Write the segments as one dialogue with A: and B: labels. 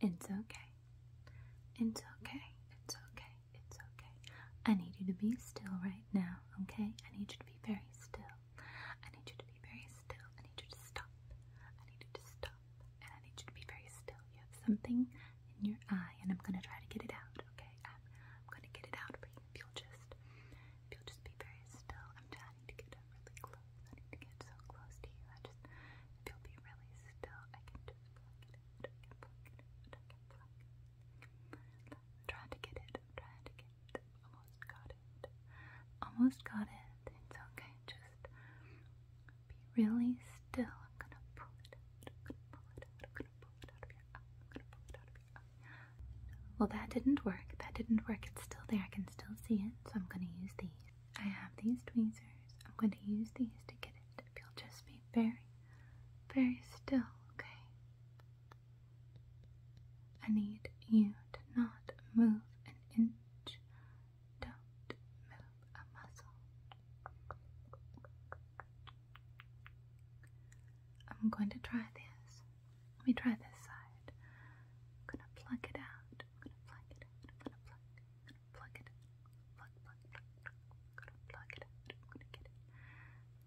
A: It's okay. It's okay. It's okay. It's okay. I need you to be still right now, okay? I need you to be very still. I need you to be very still. I need you to stop. I need you to stop. And I need you to be very still. You have something in your eye, and I'm going to try to get it out, okay? I'm, going to get it out for you. will just, you'll just be very still, I'm trying to get it really close. I need to get so close to you. I just, if be really still, I can just pluck it I can pluck it I can pluck it trying to get it. trying to get it. Almost got it. Almost got it. It's okay. Just be really still. I'm gonna pull it out. I'm gonna pull it I'm gonna pull it out of your eye. I'm gonna pull it out of your eye. Well, that didn't work. That didn't work. It's still there. I can still see it. So I'm gonna use these. I have these tweezers. I'm going to use these to get it. If you'll just be very, very still, okay? I need you to not move an inch. Don't move a muscle. I'm going to try this let me try this side. I'm gonna plug it out. I'm gonna plug it I'm gonna plug. I'm gonna plug it out. Plug, plug, plug, plug. I'm gonna plug it I'm gonna get it.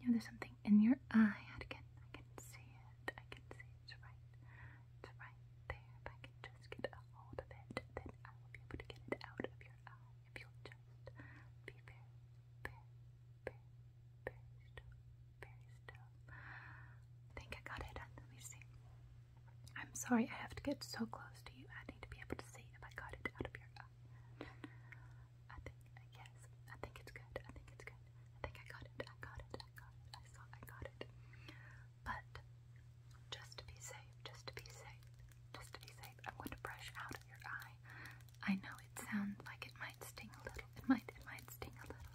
A: You there's something in your eye. I I can see it. I can see It's right. It's right there. If I can just get a hold of it, then I will be able to get it out of your eye. If you'll just be very, very, very, very I think I got it Let me see. I'm sorry I have to get so close to you. I need to be able to see if I got it out of your eye. Uh, I think, yes, I think it's good. I think it's good. I think I got it. I got it. I got it. I saw I got it. But just to be safe, just to be safe, just to be safe, I'm going to brush out of your eye. I know it sounds like it might sting a little. It might, it might sting a little.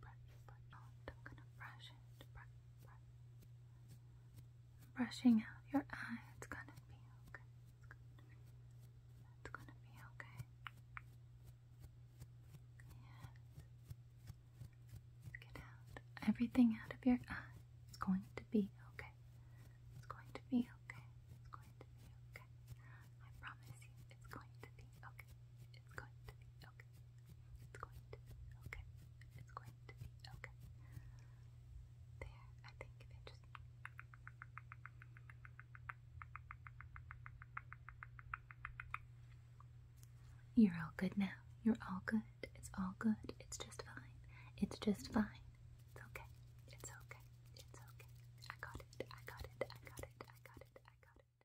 A: brush, but I'm gonna brush it. Brushing out your eyes It's gonna be okay. It's gonna be okay. Get everything out of your eyes. It's going to be okay. It's going to be okay. It's going to be okay. I promise you, it's going to be okay. It's going to be okay. It's going to be okay. It's going to be okay. There, I think if it just. You're all good now. You're all good. It's all good. It's just fine. It's just fine. It's okay. It's okay. It's okay. I got it. I got it. I got it. I got it. I got it.